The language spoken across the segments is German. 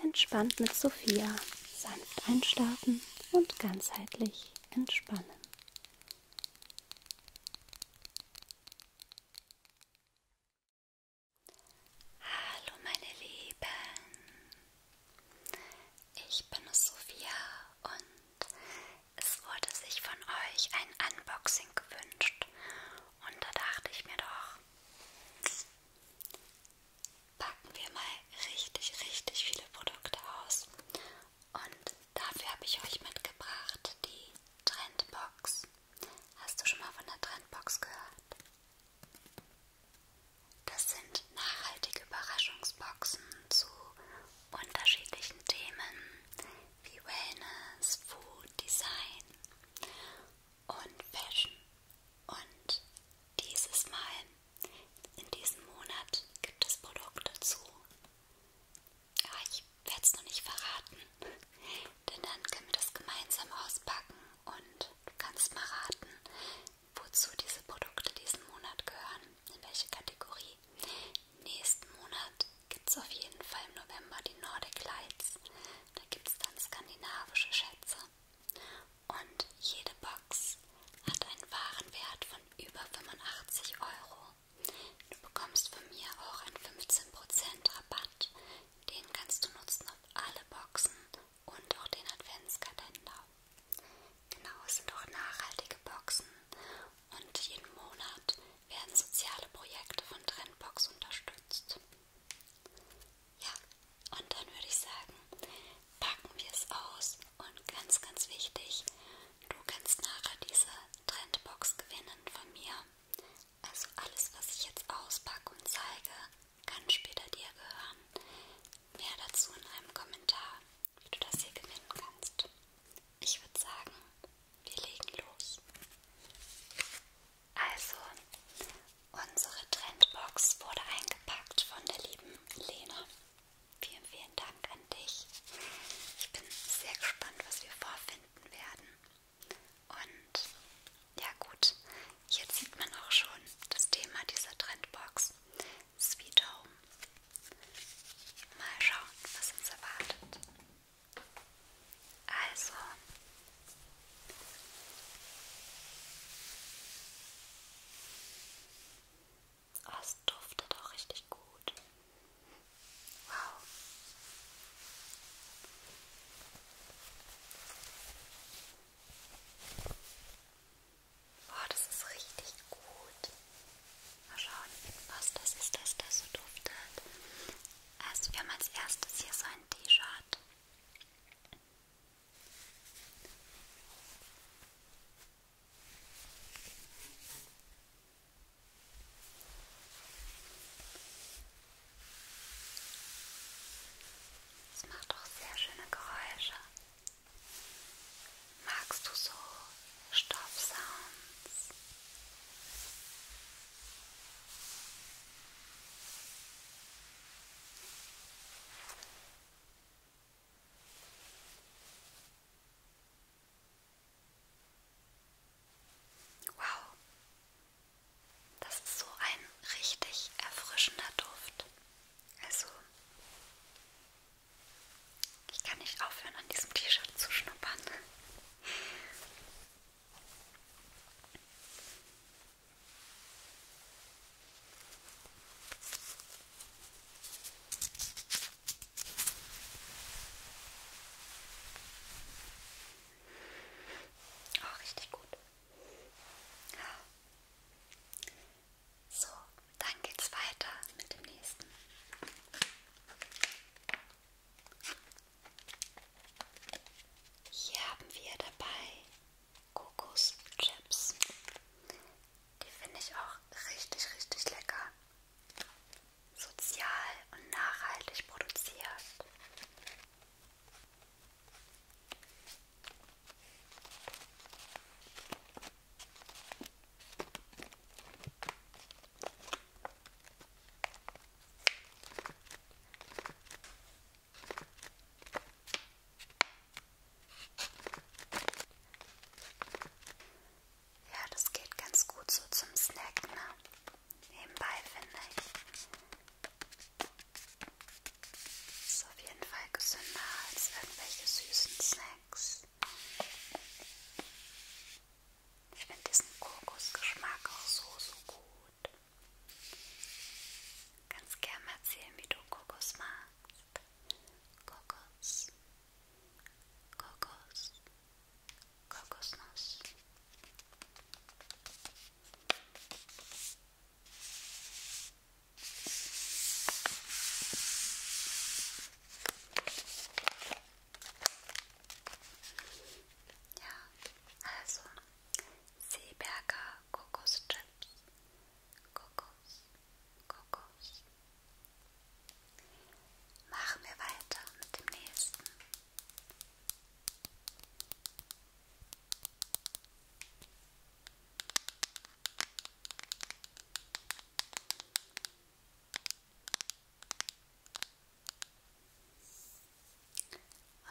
Entspannt mit Sophia. Sanft einschlafen und ganzheitlich entspannen. Hallo meine Lieben. Ich bin Sophia und es wurde sich von euch ein Unboxing gewünscht. Und da dachte ich mir doch, packen wir mal richtig, richtig viele Produkte aus. Und dafür habe ich euch mitgebracht die Trendbox. Hast du schon mal von der Trendbox gehört? Das sind nachhaltige Überraschungsboxen zu unterschiedlichen Themen wie Wellness, Food, Design und Fashion. Und dieses Mal, in diesem Monat, gibt es Produkte zu. Aber ich werde es noch nicht verraten, denn dann können wir das gemeinsam auspacken und du kannst mal raten, wozu diese Produkte diesen Monat gehören, in welche Kategorie. Nächsten Monat gibt es auf jeden Fall im November die Nordic Lights. Da gibt es dann skandinavische Schätze und jede Box hat einen Warenwert von über 85 Euro. Du bekommst von mir auch einen 15% Rabatt. Den kannst du nutzen auf alle Boxen und auch den Adventskalender. Genau, es sind auch nachhaltige Boxen und jeden Monat werden soziale Projekte von Trendbox unterstützt. Ja, und dann würde ich sagen, packen wir es aus und ganz, ganz wichtig, du kannst nachher diese Trendbox gewinnen von mir. Also alles, was ich jetzt auspacke und zeige, kann später dir gehören. Mehr dazu in einem Kommentar, wie du das hier gewinnen kannst. Ich würde sagen, wir legen los. Also, unsere Trendbox wurde eingepackt von der lieben Lena. Vielen, vielen Dank an dich. Ich bin sehr gespannt, was wir vorfinden werden. Und ja gut, jetzt sieht man auch schon das Thema dieser Trendbox. Sweet Home. Mal schauen, was uns erwartet. Also, Oh, es duftet auch richtig gut. Wow. Oh, das ist richtig gut. Mal schauen, was das ist, dass das so duftet. Also wir haben als erstes hier so ein T-Shirt. Es macht auch sehr schöne Geräusche. Magst du so Stoffsounds? Wow, das ist so ein richtig erfrischender Duft. Also, ich kann nicht aufhören, an diesem T-Shirt zu schnuppern. Oh, richtig gut. So, dann geht's weiter mit dem nächsten. Hier haben wir dabei Kokoschips. Die finde ich auch richtig, richtig lecker. Sozial und nachhaltig produziert. Ja, das geht ganz gut so zum Snack, ne? Nebenbei finde ich. Ist auf jeden Fall gesünder als irgendwelche süßen Snacks. Ich finde diesen Kokosgeschmack auch so, so gut. Kannst gerne mal erzählen, wie du Kokos magst. Kokos. Kokos. Kokosnuss. Ja, also Seeberger Kokoschips. Kokos, Kokos. Machen wir weiter mit dem nächsten.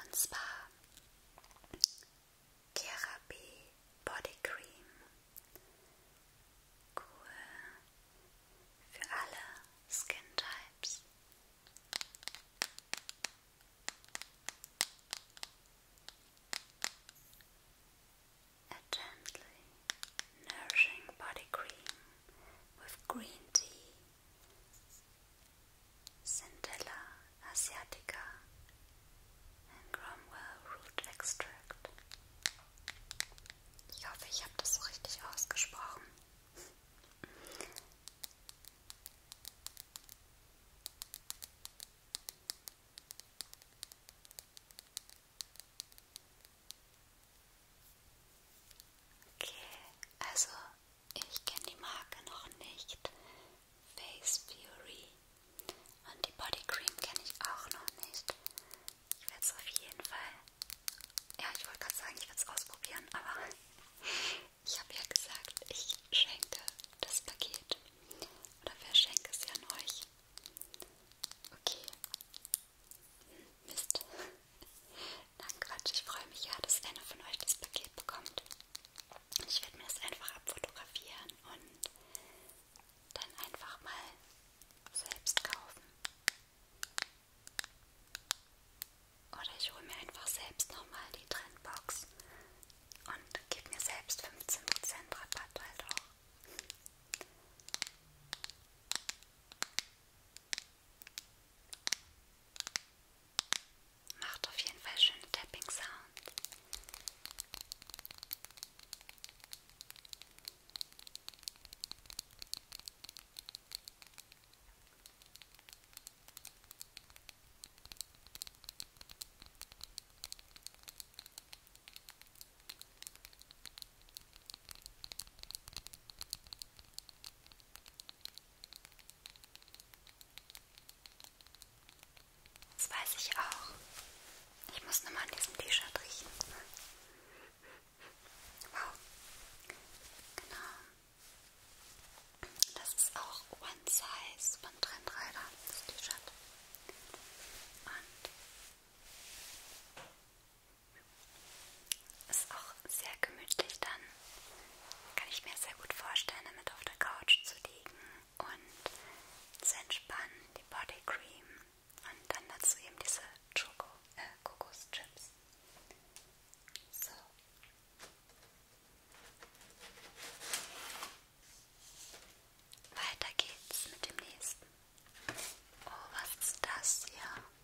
Und zwar Body Cream. Cool für alle Skin Types. A gently nourishing body cream with green tea Centella asiatica and Cromwell Root Extract. Ich hoffe, ich habe das so richtig ausgesprochen. Okay, also ich kenne die Marke noch nicht. Face Fury. Und die Body Cream kenne ich auch noch nicht. Ich werde es auf jeden Fall. Ja, ich wollte gerade sagen, ich werde es ausprobieren, aber ich habe ja gesagt, ich schenke das Paket. Oder verschenke es ja an euch. Okay. Hm, Mist. Nein, Quatsch, ich freue mich ja, dass einer von euch das Paket bekommt. Ich werde mir das einfach abfotografieren und dann einfach mal selbst kaufen. Oder ich hole mir einfach selbst nochmal die Trendbox und gebe mir selbst 15% Rabatt halt auch. Macht auf jeden Fall schöne Tapping Sound. Das weiß ich auch. Ich muss nur mal an diesem T-Shirt riechen. Wow. Genau. Das ist auch One Size von Trendreiter, das T-Shirt. Und ist auch sehr gemütlich dann. Kann ich mir sehr gut vorstellen, damit auf der Couch zu liegen und zu entspannen, die Body Cream und dann dazu eben diese Schoko, äh, Kokoschips. So. Weiter geht's mit dem nächsten. Oh, was ist das hier?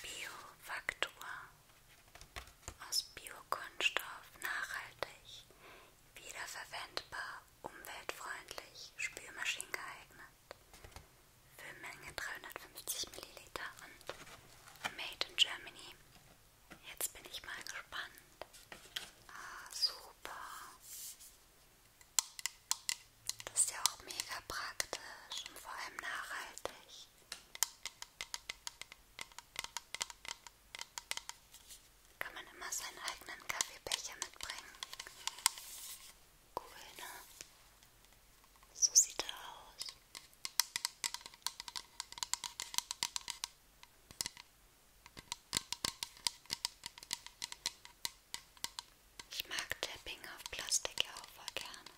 Biofaktor aus Biokunststoff nachhaltig, wiederverwendbar, umweltfreundlich, Spülmaschinen geeignet. Füllmenge 350 ml und Made in Germany. Jetzt bin ich mal gespannt. Ah, super. Das ist ja auch mega praktisch und vor allem nachhaltig. Kann man immer seinen eigenen Kaffeebecher mitbringen. Cool, ne? So sieht er aus. Ich mag Tapping auf Plastik ja auch voll gerne.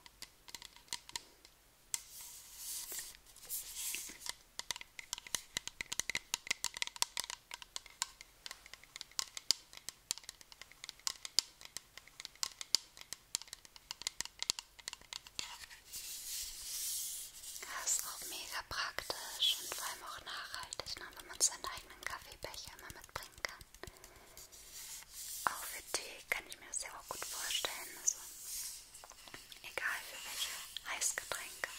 Das ist auch mega praktisch und vor allem auch nachhaltig, ne, wenn man seinen eigenen Kaffeebecher immer mitbringen kann. Auch für Tee kann ich mir das ja auch gut vorstellen. Also egal für welche Heißgetränke.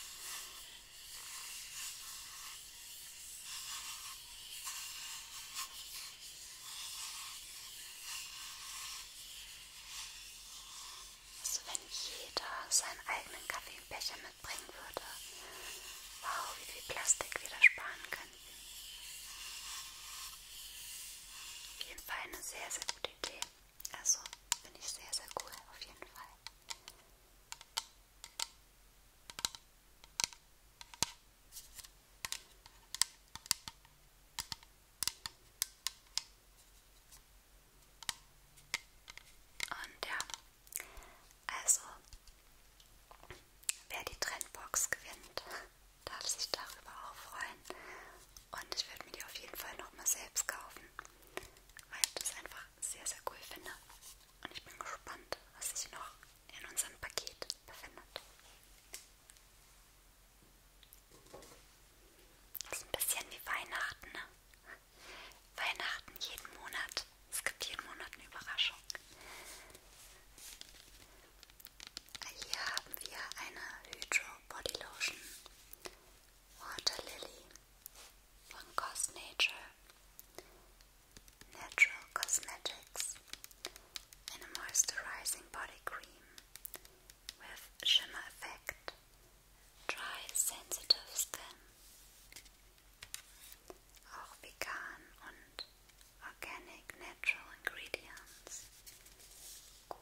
Also wenn jeder seinen eigenen Kaffee im Becher mitbringen würde, wow, wie viel Plastik wir da sparen könnten. Auf jeden Fall eine sehr, sehr gute Idee. Also finde ich sehr, sehr cool, auf jeden Fall. Und ja, also wer die Trendbox gewinnt, darf sich darüber auch freuen. Und ich werde mir die auf jeden Fall nochmal selbst kaufen, weil ich das einfach sehr, sehr cool finde. Und ich bin gespannt, was sich noch in unserem Paket befindet. Das ist ein bisschen wie Weihnachten, ne? Weihnachten jeden Monat. Es gibt jeden Monat eine Überraschung. Hier haben wir eine Hydro Body Lotion Water Lily von Cosnature Natural Cosmetics. Eine Moisturizing Body Cream with shimmer effect, dry sensitive skin. Auch vegan organic natural ingredients. Cool.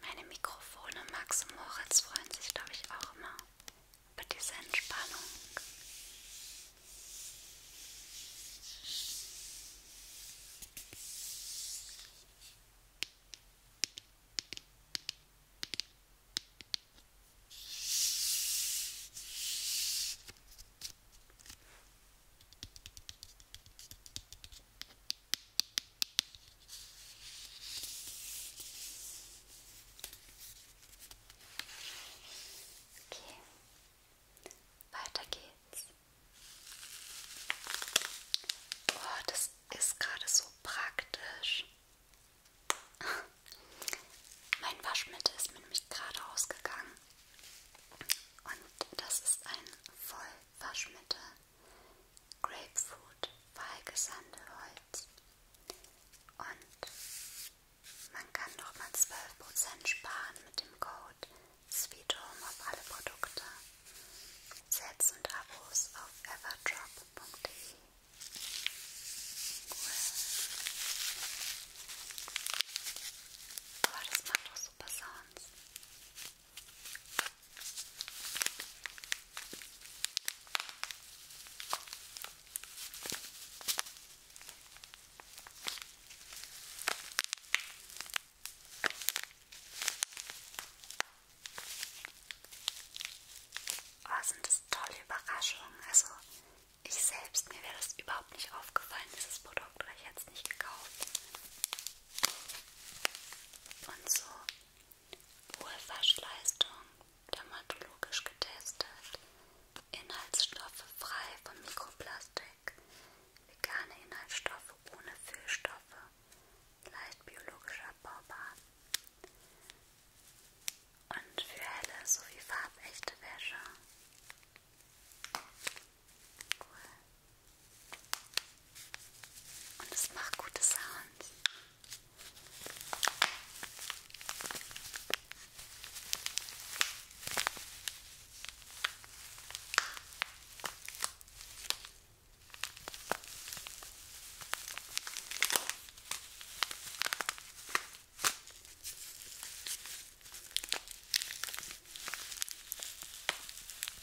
Meine Mikrofone Max und Moritz freuen sich, glaube ich, auch immer über diese Entspannung. Okay, weiter geht's. Oh, das ist gerade so praktisch. Mein Waschmittel ist mir nämlich gerade ausgegangen. Und das ist ein Vollwaschmittel. Grapefruit, Weigesandelholz. Und man kann nochmal 12% sparen mit dem Code Sweet Home auf alle Produkte. Sets und Abos auf everdrop.de. Cool. Aber das macht auch super Sounds. Oh, sind das tolle Überraschungen. Also ich selbst, mir wäre das überhaupt nicht aufgefallen, dieses Produkt, oder ich hätte es nicht gekauft. Und so hohe Waschleistung, dermatologisch getestet, Inhaltsstoffe frei von Mikroplastik, vegane Inhaltsstoffe ohne Füllstoffe, leicht biologisch abbaubar und für helle sowie farbechte Wäsche. Cool. Und es macht gute Sounds.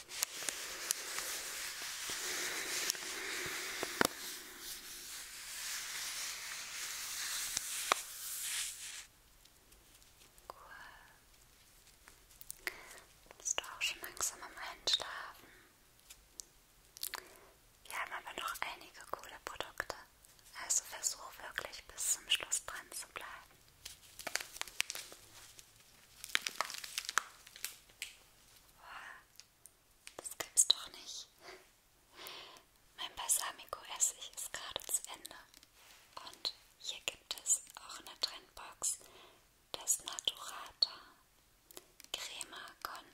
Cool. Bist du auch schon langsam am Einschlafen? Wir haben aber noch einige coole Produkte, also versuch wirklich bis zum Schluss dran zu bleiben. Das gibt's doch nicht. Mein Balsamico-Essig ist gerade zu Ende. Und hier gibt es auch eine Trendbox des Naturata Crema con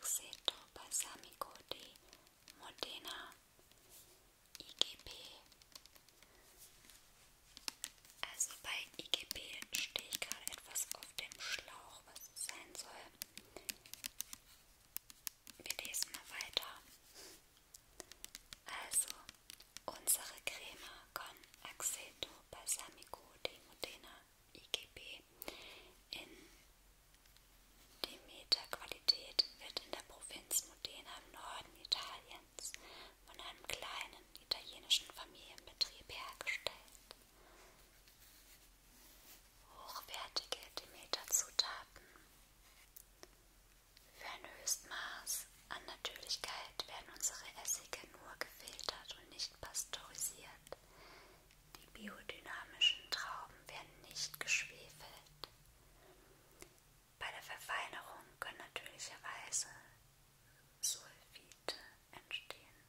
Aceto Balsamico di Modena IGP also bei IGB stehe ich gerade etwas auf dem Schlauch, was es sein soll. Wir lesen mal weiter. Also, unsere Creme con Aceto Balsamico di Modena IGB in Demeter-Qualität wird in der Provinz Modena im Norden Italiens von einem kleinen italienischen Familienbetrieb hergestellt. Hochwertige Demeter-Zutaten. Für ein Höchstmaß an Natürlichkeit werden unsere Essige nur gefiltert und nicht pasteurisiert. Die biodynamischen Trauben werden nicht geschwefelt. Bei der Verfeinerung können natürlicherweise Sulfite entstehen.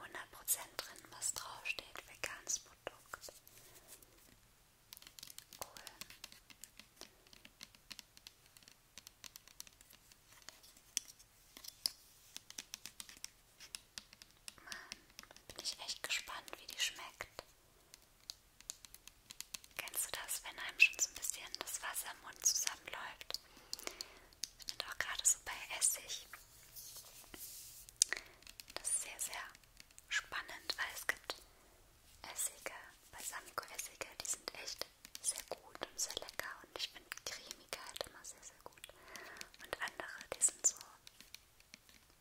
100% drin, was draufsteht, veganes Produkt. Cool. Mann, bin ich echt gespannt, wie die schmeckt. Kennst du das, wenn einem schon so ein bisschen das Wasser im Mund zusammenläuft? Und auch gerade so bei Essig. Das ist sehr, sehr spannend, weil es gibt Essige, Balsamico-Essige, die sind echt sehr gut und sehr lecker und ich finde Cremigkeit halt immer sehr, sehr gut. Und andere, die sind so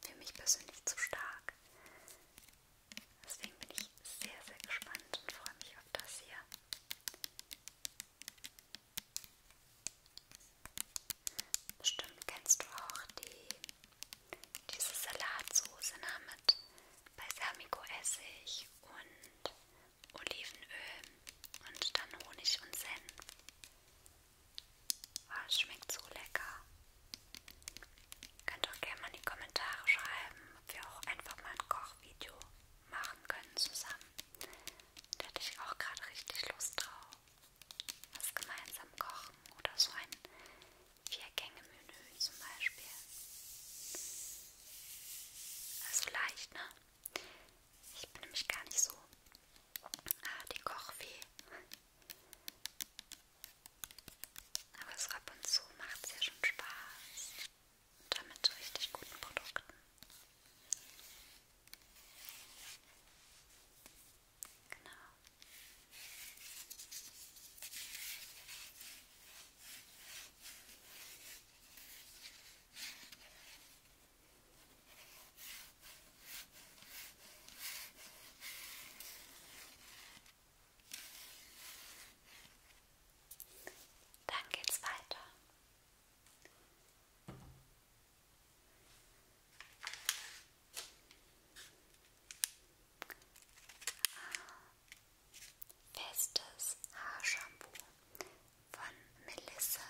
für mich persönlich zu stark. Deswegen bin ich sehr, sehr gespannt und freue mich auf das hier. Bestimmt kennst du auch die, diese Salatsoße na, ne, mit Balsamico-Essig und Olivenöl und dann Honig und Senf. Oh, schmeckt so lecker. Könnt auch gerne mal in die Kommentare schreiben, ob wir auch einfach mal ein Kochvideo machen können zusammen. Da hätte ich auch gerade richtig Lust drauf. Was gemeinsam kochen oder so ein Vier-Gänge-Menü zum Beispiel. Also leicht, ne? Ich bin nämlich gar nicht so ah, die Kochfee. Aber es ab und zu macht es ja schon Spaß. Und damit zu richtig guten Produkten. Genau. Dann geht's weiter. Festes Haarshampoo von Melissa.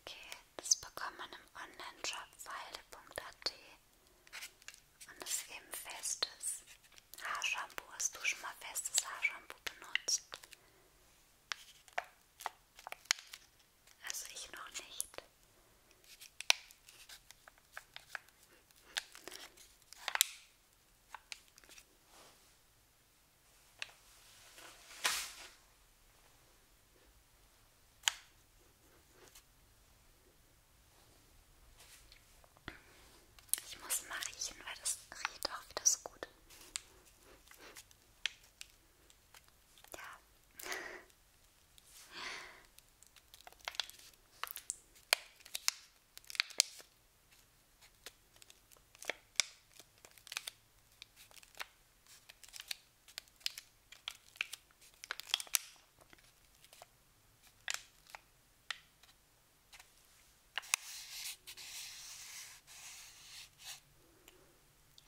Okay, das bekommt man im Online-Shop weide.at und es ist eben festes Haarshampoo. Hast du schon mal festes Haarshampoo benutzt? Also ich noch nicht. Ich muss mal riechen, weil das riecht auch wieder so gut. Ja.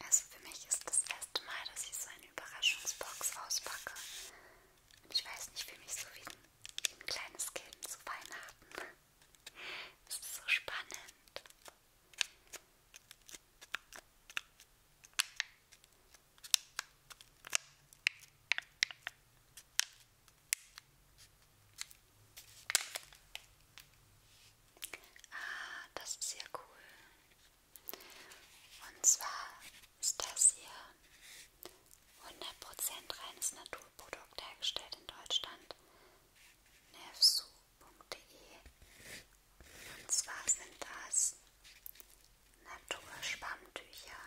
Also für mich ist das erste Mal, dass ich so eine Überraschungsbox auspacke. Und ich weiß nicht, für mich so wie ein, wie ein kleines Kind zu Weihnachten. Es ist so spannend. Ah, das ist ja cool. Und zwar ist das hier 100% reines Naturprodukt hergestellt in Deutschland. nerfsu.de Und zwar sind das Naturschwammtücher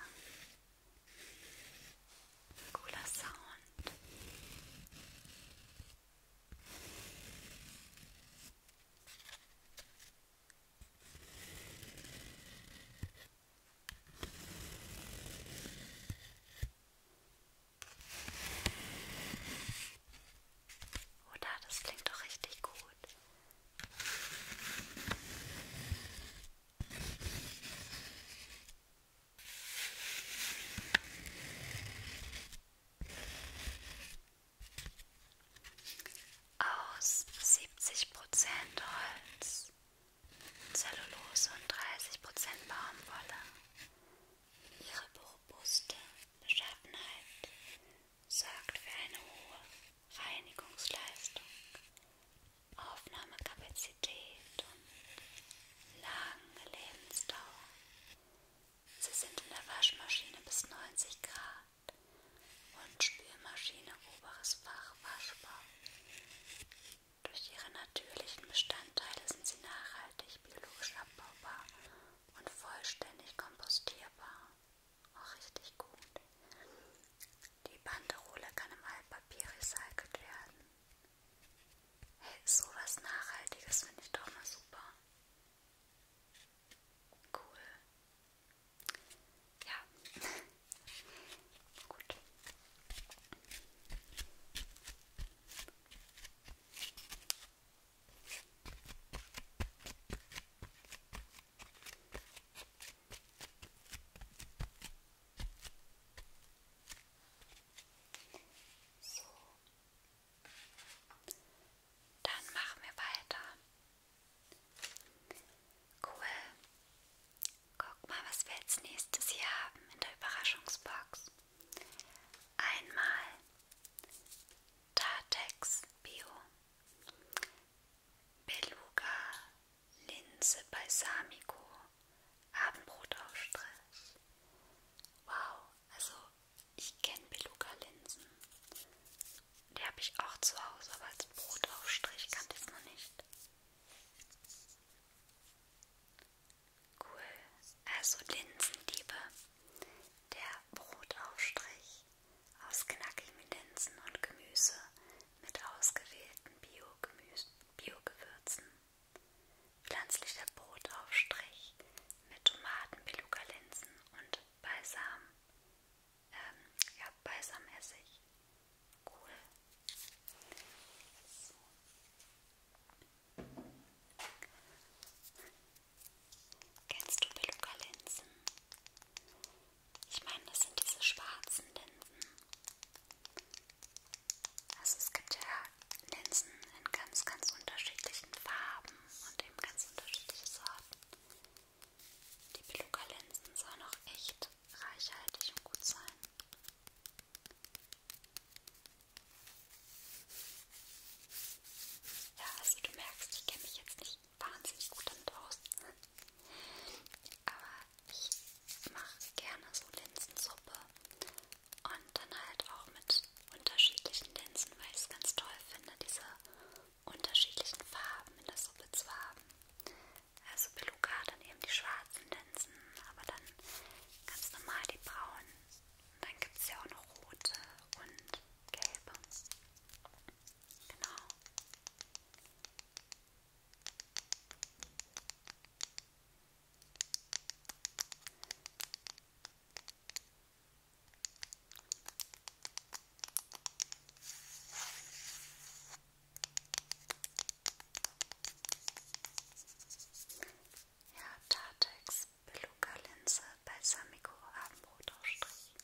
Cooler Sound. Oder das klingt doch richtig gut. Aus 70% Holz, Zellulose und 30% Baumwolle. Ihre robuste Beschaffenheit sorgt für eine hohe Reinigungsleistung. Aufnahmekapazität und lange Lebensdauer. Sie sind in der Waschmaschine bis 90 Grad und Spülmaschine oberes Fach waschbar. Durch ihre natürlichen Bestandteile sind sie nachhaltig, biologisch abbaubar und vollständig kompostierbar. Auch richtig gut. Die Banderole kann im Altpapier recycelt werden. Hey, sowas Nachhaltiges finde ich doch mal super. Cool. Ja. Gut. So. Dann machen wir weiter. Cool. Guck mal, was wir als nächstes hier haben in der Überraschungsbox. Einmal Tatex Bio. Beluga, Linse, Balsamico, Abendbrotaufstrich. Wow, also ich kenne Beluga-Linsen. Die habe ich auch zu Hause, aber als Brotaufstrich kannte ich es noch nicht. Cool, also Linsenliebe, der Brotaufstrich aus knackigem Linsen und Gemüse mit ausgewählten Bio-Gewürzen, Bio pflanzlicher Brotaufstrich mit Tomaten, Beluga-Linsen und Balsam, ähm, ja, Balsamessig. Cool. So. Kennst du Beluga-Linsen? Ich meine, das sind diese schwarzen Linsen. Also es gibt ja Linsen in ganz, ganz unterschiedlichen Farben und eben ganz unterschiedliche Sorten. Die Beluga-Linsen sollen auch echt reichhaltig und gut sein. Ja, also du merkst, ich kenne mich jetzt nicht wahnsinnig gut damit aus. Aber ich mache gerne so Linsensuppe und dann halt auch mit unterschiedlichen Linsen, weil ich es ganz toll finde, diese unterschiedlichen Farben in der Suppe zu haben. Also Beluga dann eben die schwarzen Linsen, aber dann ganz normal die braunen. Und dann gibt es ja auch noch rote und gelbe. Genau. Ja, Tartex, Beluga-Linse, Balsamico, Abendbrotaufstrich.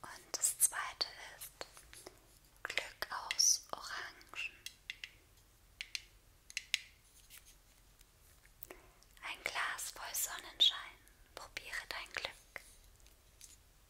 Und das zweite ist Glück aus Orangen. Ein Glas voll Sonnenschein. Probiere dein Glück.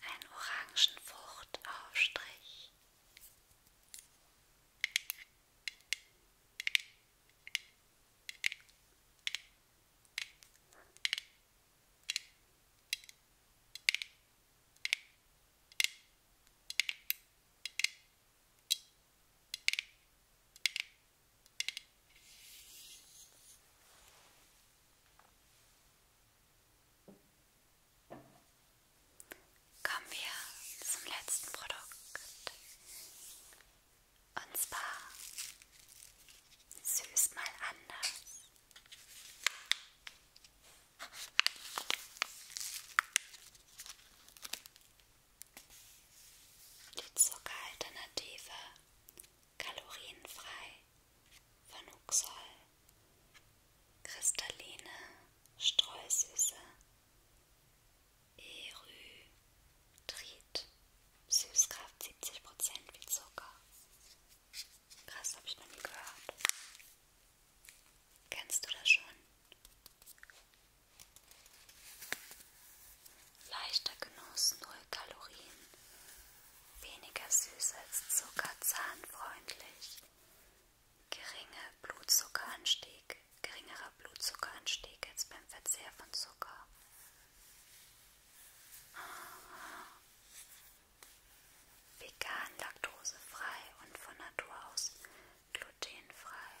Ein orangen Fruchtaufstrich. Kommen wir zum letzten Produkt. Und zwar süß mal anders. Die Zuckeralternative kalorienfrei von Uxol, kristalline Streusüße, Erythrit, Süßkraft 70% wie Zucker, Krass, habe ich noch nie gehört. Kennst du das schon? Leichter Genuss, null Kalorien, weniger süß als Zucker, zahnfreundlich, geringer Blutzuckeranstieg, geringerer Blutzuckeranstieg als beim Verzehr von Zucker. Vegan, laktosefrei und von Natur aus glutenfrei.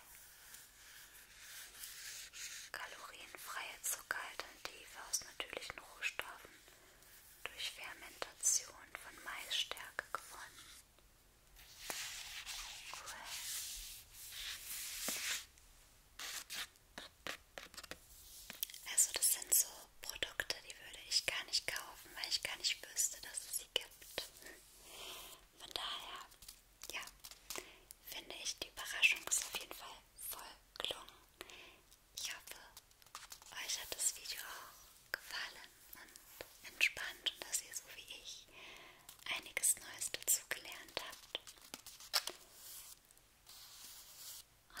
Kalorienfreie Zuckeralternative aus natürlichen Rohstoffen durch Fermentation von Maisstärke gewonnen. Cool. Also das sind so auch Produkte, die würde ich gar nicht kaufen, weil ich gar nicht wüsste, dass es sie gibt. Von daher, ja, finde ich die Überraschung ist auf jeden Fall voll gelungen. Ich hoffe, euch hat das Video auch gefallen und entspannt und dass ihr so wie ich einiges Neues dazu gelernt habt.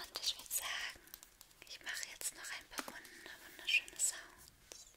Und ich würde sagen, ich mache jetzt noch ein paar wunder, wunderschöne Sounds. Hm.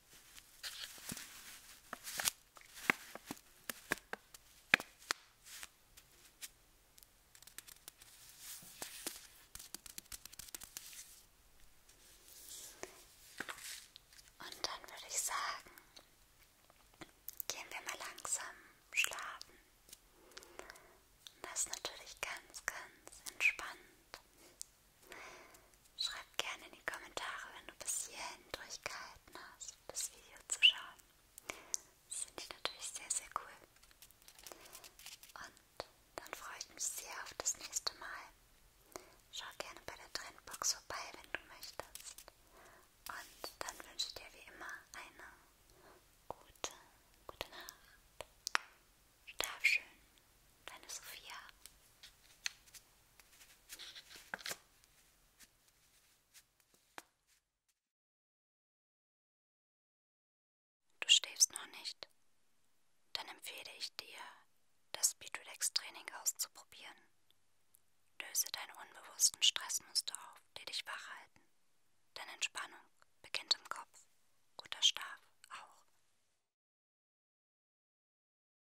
Und dann würde ich sagen, gehen wir mal langsam schlafen. Das ist natürlich ganz, ganz entspannt. Schreib gerne in die Kommentare, wenn du bis hierhin durchgehalten hast, das Video zu schauen. Das finde ich natürlich sehr, sehr cool. Und dann freue ich mich sehr auf das nächste Mal. Schau gerne bei der Trendbox vorbei, wenn du möchtest. Und dann wünsche ich dir wie immer eine gute, gute Nacht. Schlaf schön, deine Sophia. Du schläfst noch nicht? Dann empfehle ich dir, das Speedrelax-Training auszuprobieren. Löse deine unbewussten Stressmuster auf, die dich wach halten. Denn Entspannung beginnt im Kopf, guter Schlaf auch.